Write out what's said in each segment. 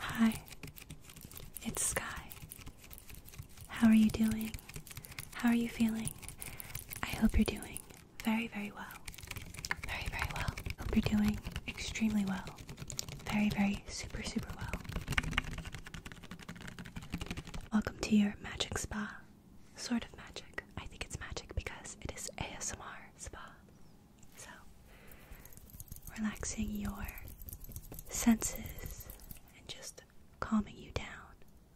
Hi, it's Sky. How are you doing? How are you feeling? I hope you're doing very, very well. Very, very well. Hope you're doing extremely well. Very, very super, super well. Welcome to your magic spa. Sort of magic. I think it's magic because it is ASMR spa. So, relaxing your senses and just calming you down,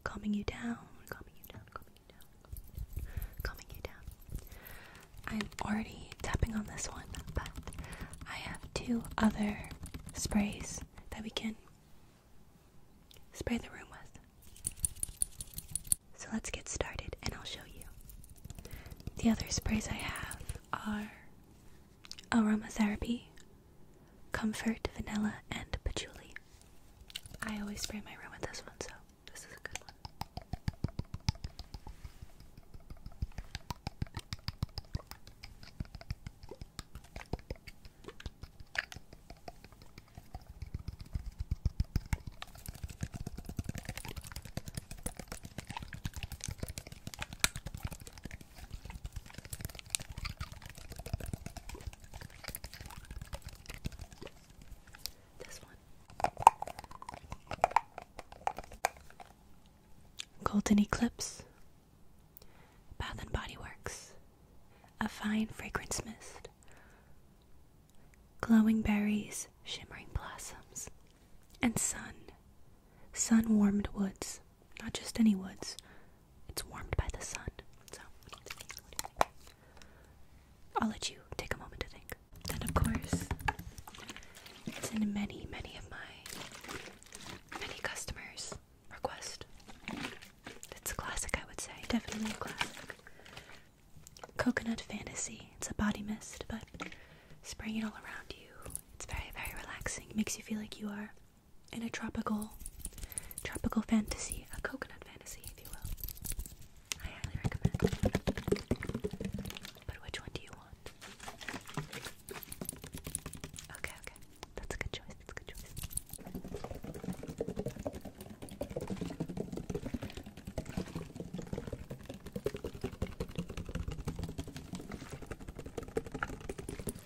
calming you down, calming you down, calming you down, calming you down. I'm already tapping on this one, but I have two other sprays that we can spray the room with. So let's get started and I'll show you. The other sprays I have are aromatherapy Comfort, vanilla, and patchouli. I always spray my room with this one, so this is a good one. Golden Eclipse. Bath and Body Works. A fine fragrance mist. Glowing berries, shimmering blossoms, and sun. Sun warmed woods. Not just any woods. It's warmed by the sun. So, I'll let you take a moment to think. Then, of course, it's in many, many of my many customers' request. It's a classic, I would say. Definitely a classic. Coconut Fantasy. It's a body mist, but spraying it all around you. It's very, very relaxing. makes you feel like you are in a tropical tropical fantasy, a coconut fantasy, if you will. I highly recommend. But which one do you want? Okay, okay. That's a good choice. That's a good choice.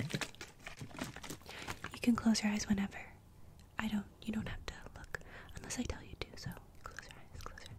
You can close your eyes whenever. I don't, you don't have to look unless I tell you to, so close your eyes, close your eyes.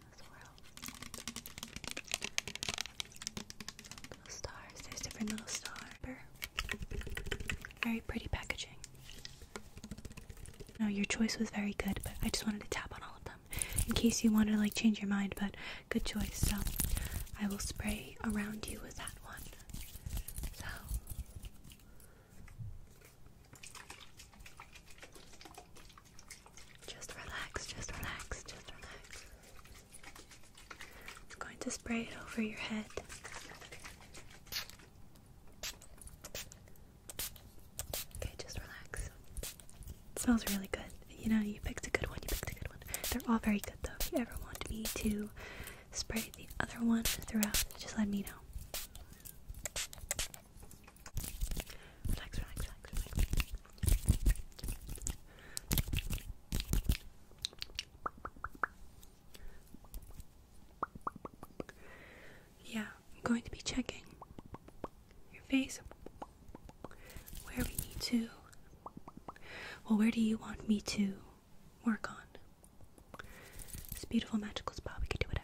Little stars. There's different little stars. Very pretty packaging. No, your choice was very good, but I just wanted to tap on all of them in case you wanted to like change your mind. But good choice. So I will spray around you with that one. So. Just relax, just relax, just relax. I'm going to spray it over your head. Okay, just relax. smells really good. You know, you picked a good one, you picked a good one. They're all very good though. If you ever want me to spray the other one throughout, just let me know. Yeah, I'm going to be checking your face where we need to. Well, where do you want me to work on? This beautiful magical spot. We can We can do whatever.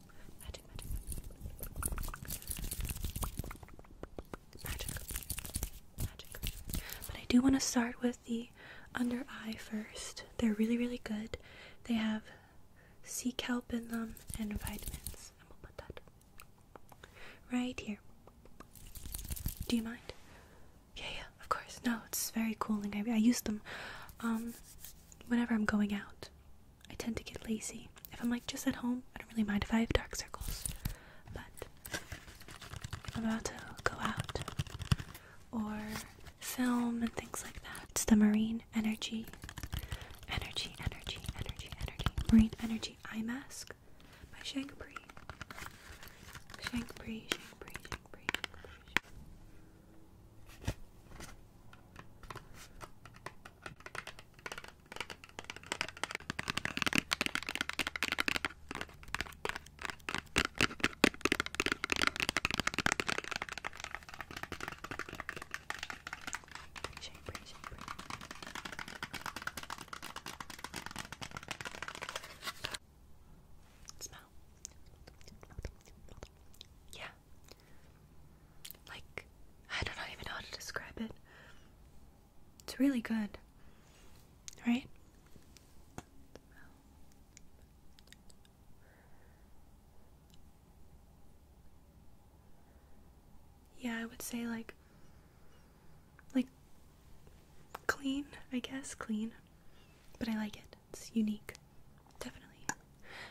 Magic, magic, magic. But I do want to start with the under eye first. They're really, really good. They have sea kelp in them and vitamins. I'm going put that right here. Do you mind? Yeah, yeah, of course. No, it's very cooling. I, use them um, whenever I'm going out. I tend to get lazy. If I'm like just at home, I don't really mind if I have dark circles. But if I'm about to go out or film and things like that, it's the marine energy, energy, energy, energy, energy, marine energy eye mask by Shang Bree. Shang Bree, Shang Bree, Shang Bree. Shang Bree. Shape, shape. Smell. Yeah. Like, I don't even know how to describe it. It's really good. Right? Yeah, I would say like like clean, I guess, clean. But I like it. It's unique. Definitely.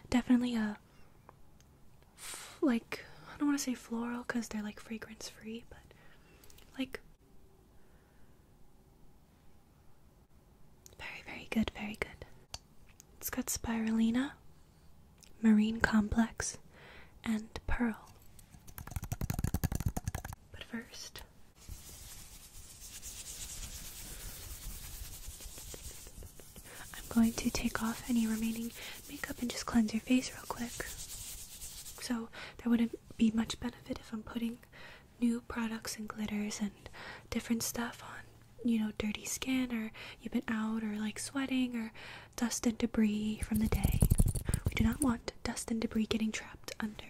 Definitely a uh, like I don't want to say floral because they're like fragrance free, but like very, very good, very good. It's got spirulina, marine complex, and pearl. But first, I'm going to take off any remaining makeup and just cleanse your face real quick. So there wouldn't be much benefit if I'm putting new products and glitters and different stuff on, you know, dirty skin or you've been out or like sweating or dust and debris from the day. We do not want dust and debris getting trapped under.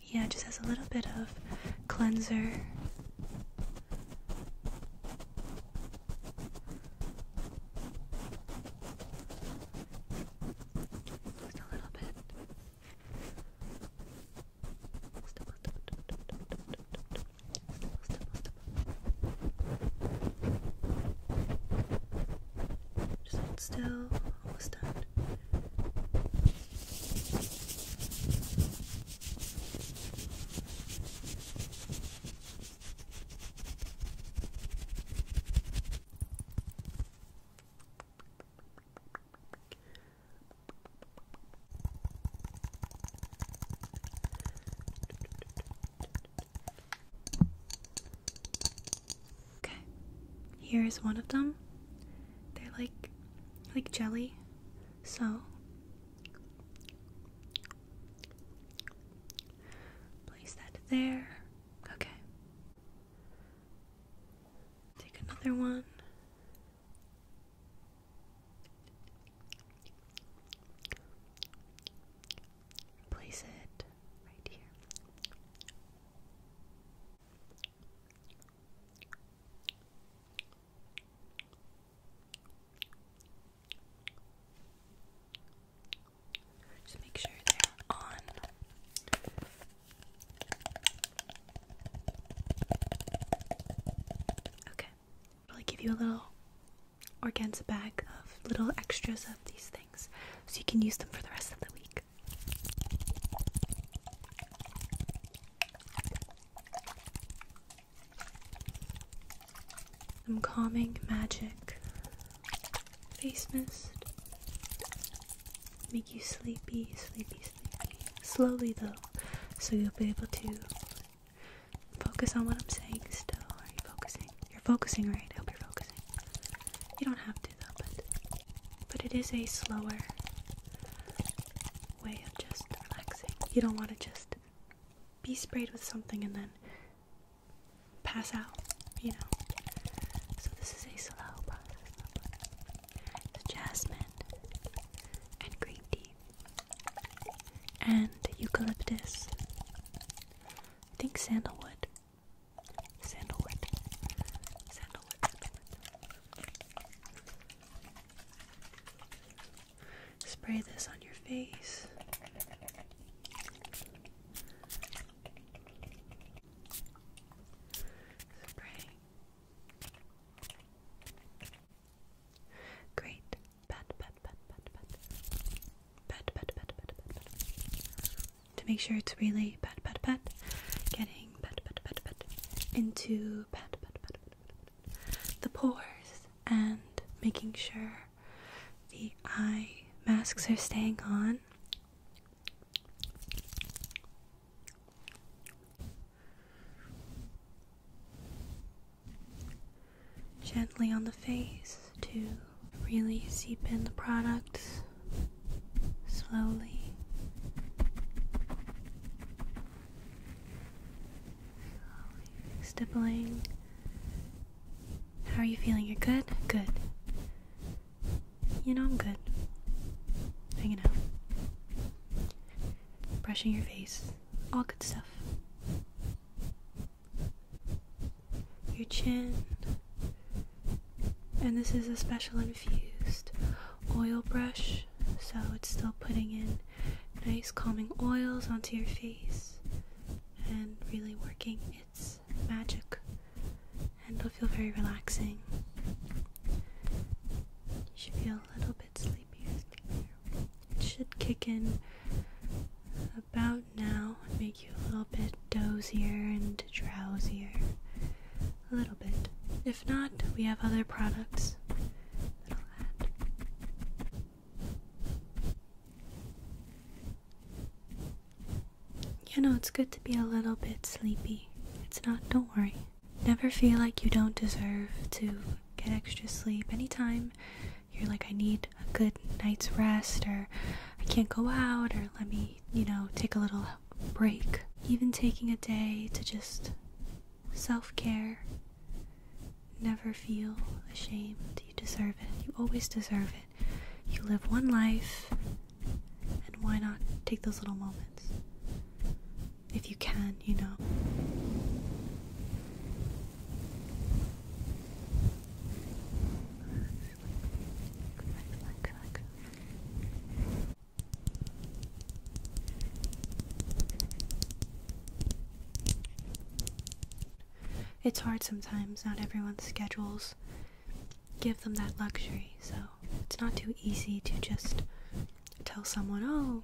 Yeah, it just has a little bit of cleanser. Just a little bit. still, almost done. Okay, here is one of them. They're like like jelly. So place that there. Okay. Take another one. Place it right here. Just make sure they're on. Okay. I'll give you a little organza bag of little extras of these things so you can use them for the rest of the week. Some calming magic. Face mist. Make you sleepy, sleepy, sleepy. Slowly though, so you'll be able to focus on what I'm saying still. Are you focusing? You're focusing right. I hope you're focusing. You don't have to though, but but it is a slower way of just relaxing. You don't want to just be sprayed with something and then pass out, you know. So this is a slow process. jasmine and green tea and eucalyptus. think Sandalwood. Sandalwood. Sandalwood. Spray this on your face. Spray. Great. Pat, pat, pat, pat, pat. Pat, pat, pat, pat, pat, To make sure it's really pat, pat, pat. Getting pat, pat, pat, pat. Into pat, pat, pat, pat the pores and making sure the eye masks are staying on. Gently on the face to really seep in the products slowly stippling. How are you feeling? You're good? Good. You know I'm good. Hanging out. Brushing your face. All good stuff. Your chin. And this is a special infused oil brush, so it's still putting in nice calming oils onto your face and really working its magic. And it'll feel very relaxing. You should feel a little bit sleepy. It should kick in about now and make you a little bit dozier and drowsier a little bit. If not, we have other products You know, it's good to be a little bit sleepy. It's not, don't worry. Never feel like you don't deserve to get extra sleep. Anytime you're like, I need a good night's rest, or I can't go out, or let me, you know, take a little break. Even taking a day to just self care. Never feel ashamed. You deserve it. You always deserve it. You live one life, and why not take those little moments? If you can, you know. It's hard sometimes, not everyone's schedules give them that luxury, so it's not too easy to just tell someone, oh,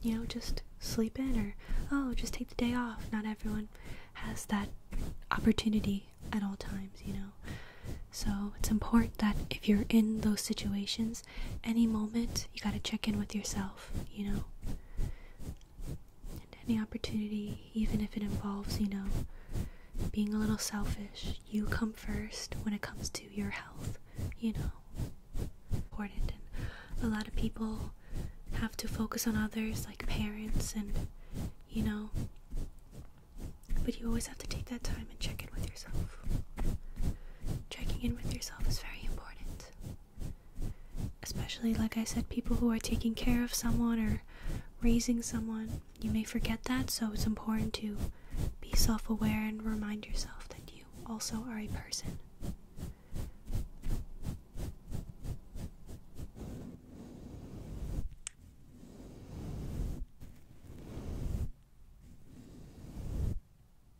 you know, just sleep in or oh, just take the day off. Not everyone has that opportunity at all times, you know. So it's important that if you're in those situations, any moment you got to check in with yourself, you know. And any opportunity, even if it involves, you know, being a little selfish, you come first when it comes to your health, you know. Important. And a lot of people have to focus on others, like parents, and, you know, but you always have to take that time and check in with yourself checking in with yourself is very important. Especially, like I said, people who are taking care of someone or raising someone, you may forget that, so it's important to be self aware and remind yourself that you also are a person.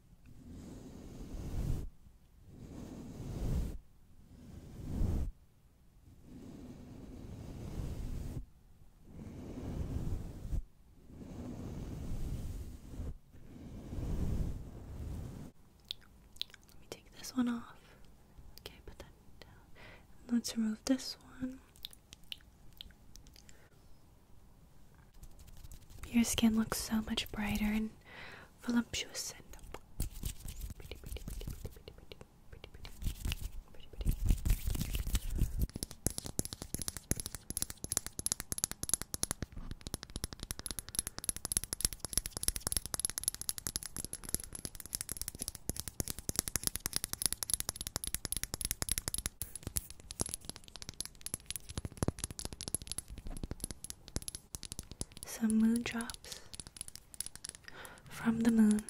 Let me take this one off. Okay, put that down. Let's remove this one. Your skin looks so much brighter and voluptuous and some moon drops from the moon.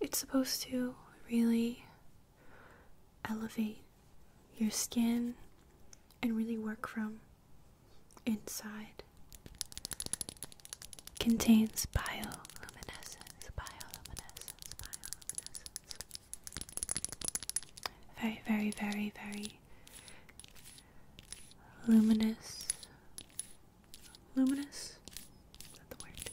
It's supposed to really elevate your skin and really work from inside. Contains bioluminescence, bioluminescence, bioluminescence, very, very, very, very luminous. Luminous? Is that the word?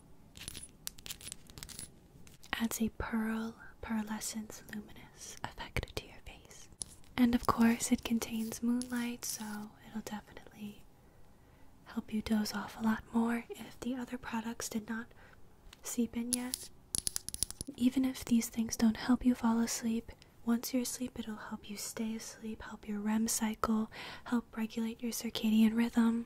Adds a pearl, pearlescence, luminous effect to your face. And of course, it contains moonlight, so it'll definitely help you doze off a lot more if the other products did not seep in yet. Even if these things don't help you fall asleep, once you're asleep, it'll help you stay asleep, help your REM cycle, help regulate your circadian rhythm.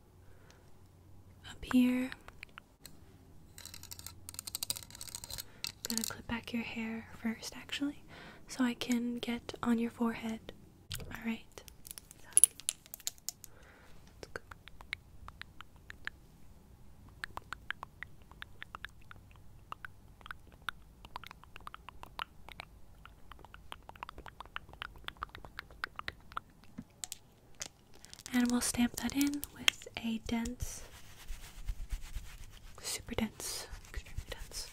up here. gonna clip back your hair first, actually, so I can get on your forehead. All right and we'll stamp that in with a dense, super dense, extremely dense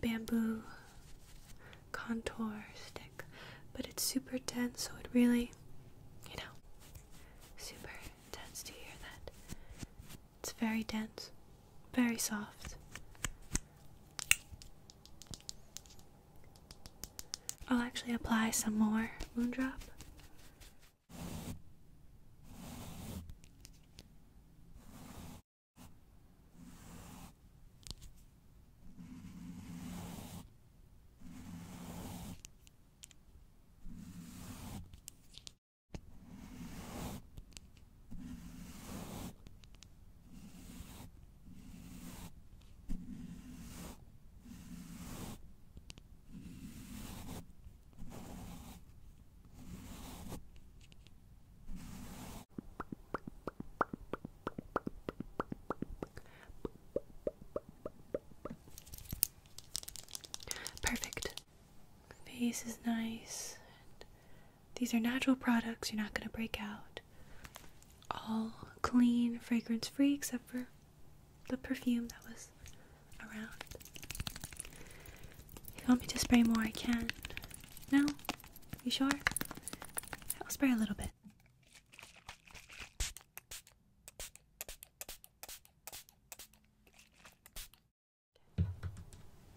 bamboo contour stick. But it's super dense, so it really, you know, super dense. Do you hear that? It's very dense, very soft. I'll actually apply some more moon drop. Perfect. Face is nice these are natural products, you're not going to break out. All clean, fragrance free, except for the perfume that was around. If you want me to spray more, I can. No? You sure? I'll spray a little bit.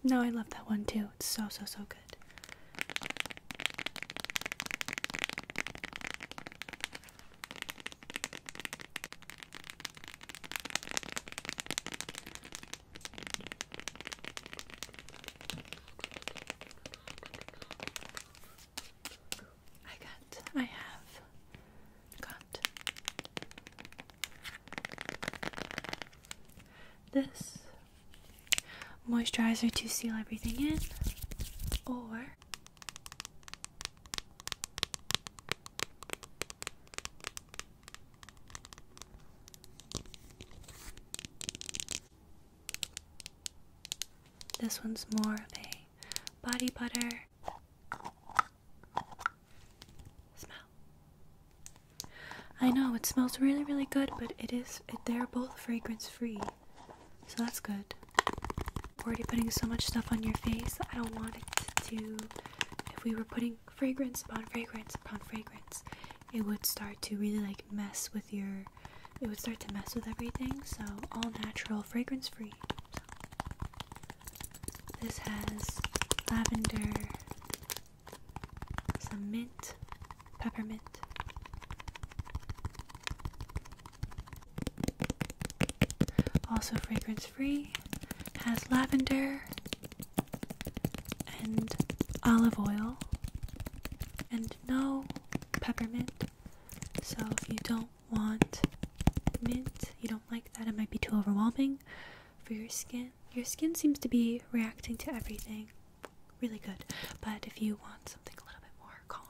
No, I love that one too. It's so, so, so good. I got, I have got this moisturizer to seal everything in, or this one's more of a body butter smell. I know it smells really, really good, but is, it, they're both fragrance free. So that's good. We're already putting so much stuff on your face, I don't want it to. If we were putting fragrance upon fragrance upon fragrance, it would start to really like mess with your. It would start to mess with everything, so all natural, fragrance free. This has lavender, some mint, peppermint. Also fragrance free, has lavender and olive oil and no peppermint. So if you don't want mint, you don't like that, it might be too overwhelming for your skin. Your skin seems to be reacting to everything really good. But if you want something a little bit more calm,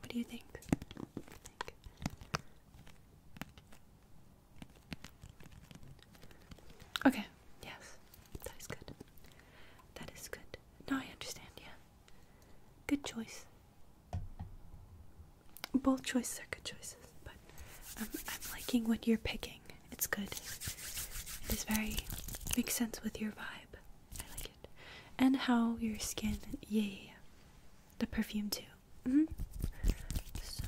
What do you think? Okay, yes, that is good. That is good. Now I understand, yeah. Good choice. Both choices are good choices, but um, I'm liking what you're picking. It's good. It is very, makes sense with your vibe. I like it. And how your skin, yeah, The perfume too. Mm-hmm. So,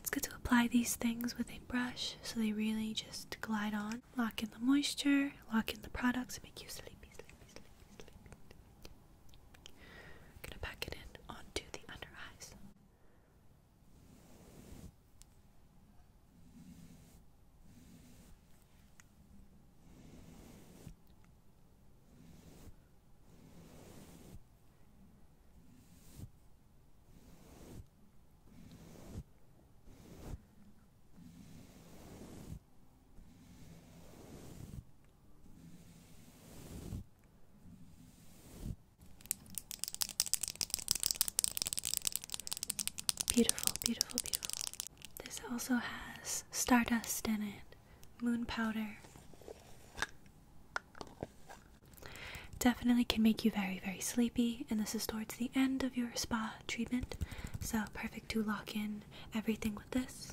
it's good to apply these things with a brush so they really just glide on. Lock in the moisture, lock in the products, make you sleepy, sleepy, sleepy, sleepy. gonna pack it in onto the under eyes. Beautiful, beautiful, beautiful. This also has stardust in it, moon powder, Definitely can make you very, very sleepy, and this is towards the end of your spa treatment, so perfect to lock in everything with this.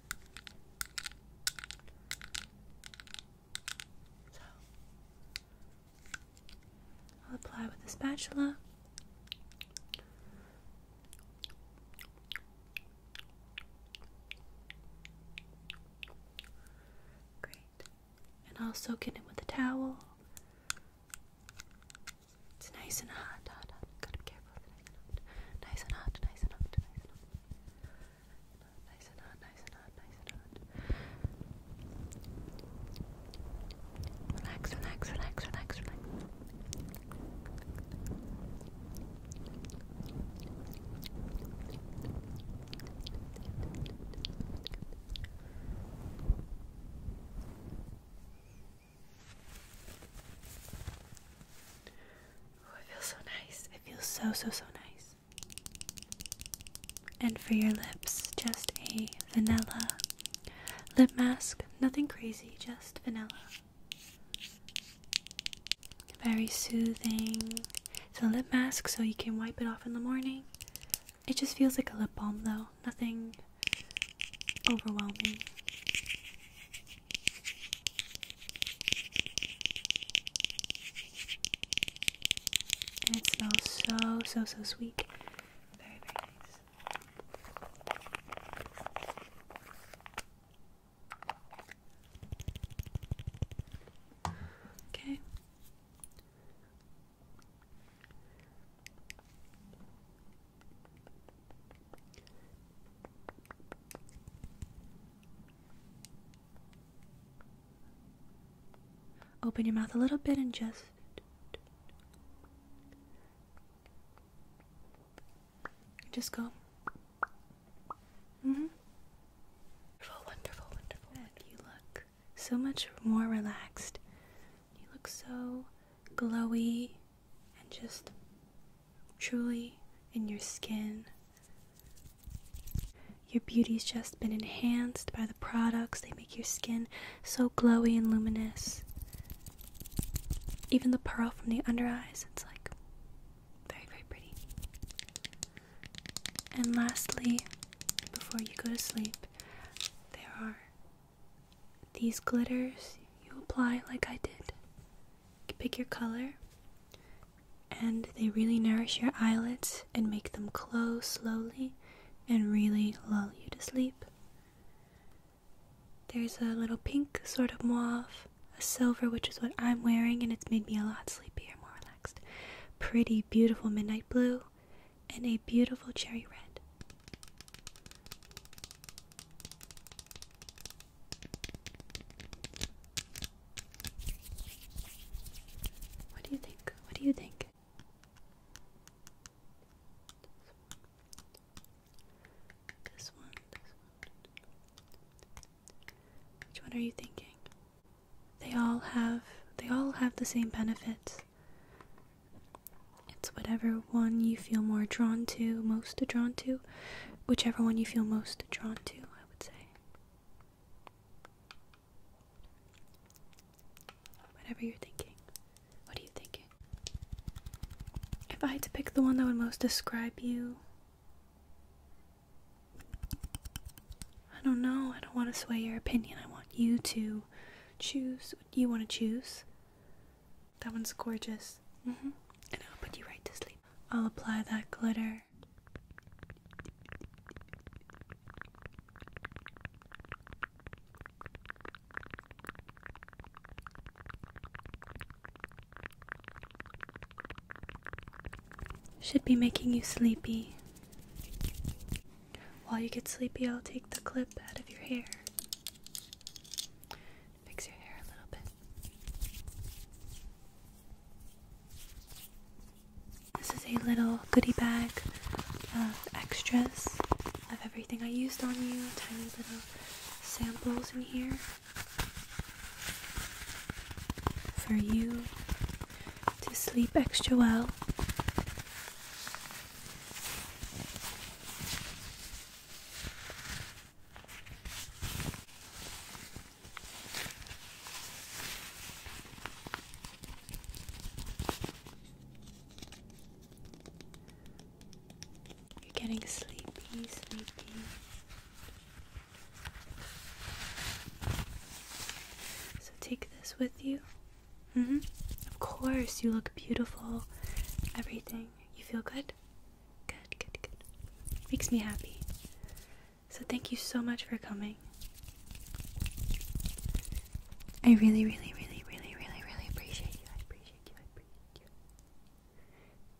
So I'll apply with a spatula. Great. And I'll soak it in with a towel. It's nice and hot, hot, hot. Gotta nice and hot, nice and hot, nice and hot, nice and hot, nice and hot, nice and hot, relax, relax, relax, relax, relax it feels so nice. It feels so, so, so nice. And for your lips, just a vanilla lip mask. Nothing crazy, just vanilla. Very soothing. It's a lip mask, so you can wipe it off in the morning. It just feels like a lip balm, though. Nothing overwhelming. And it smells so, so, so sweet. Okay. Open your mouth a little bit and just. Just go. Mm-hmm. Wonderful, wonderful, wonderful. You look so much more relaxed. You look so glowy and just truly in your skin. Your beauty's just been enhanced by the products. They make your skin so glowy and luminous. Even the pearl from the under eyes, it's like very, very pretty. And lastly, before you go to sleep, there are these glitters you apply like I did pick your color, and they really nourish your eyelids and make them close slowly and really lull you to sleep. There's a little pink sort of mauve, a silver, which is what I'm wearing, and it's made me a lot sleepier, more relaxed. Pretty, beautiful midnight blue, and a beautiful cherry red. What do you think? What do you think? This one, Which one are you thinking? They all have they all have the same benefits. It's whatever one you feel more drawn to, most drawn to whichever one you feel most drawn to, I would say. Whatever you're thinking. What are you thinking? If I had to pick the one that would most describe you, I don't know. I don't want to sway your opinion. I want you to choose what you want to choose. That one's gorgeous. Mm-hmm. And I'll put you right to sleep. I'll apply that glitter. Should be making you sleepy. While you get sleepy, I'll take the clip out of your hair. Fix your hair a little bit. This is a little goodie bag of extras of everything I used on you, tiny little samples in here for you to sleep extra well. You're getting sleepy, sleepy. So take this with you. Mm -hmm. Of course, you look beautiful. Everything. You feel good? Good, good, good. Makes me happy. So thank you so much for coming. I really, really, really, really, really, really appreciate you. I appreciate you. I appreciate you.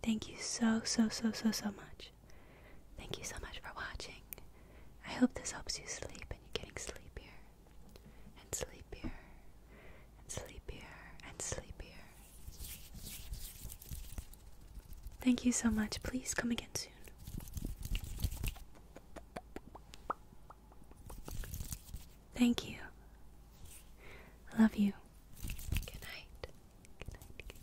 Thank you so, so, so, so, so much. Thank you so much for watching. I hope this helps you sleep and you're getting sleepier and sleepier and sleepier and sleepier Thank you so much. Please come again soon. Thank you. I love you. Good night. Good night. Good night.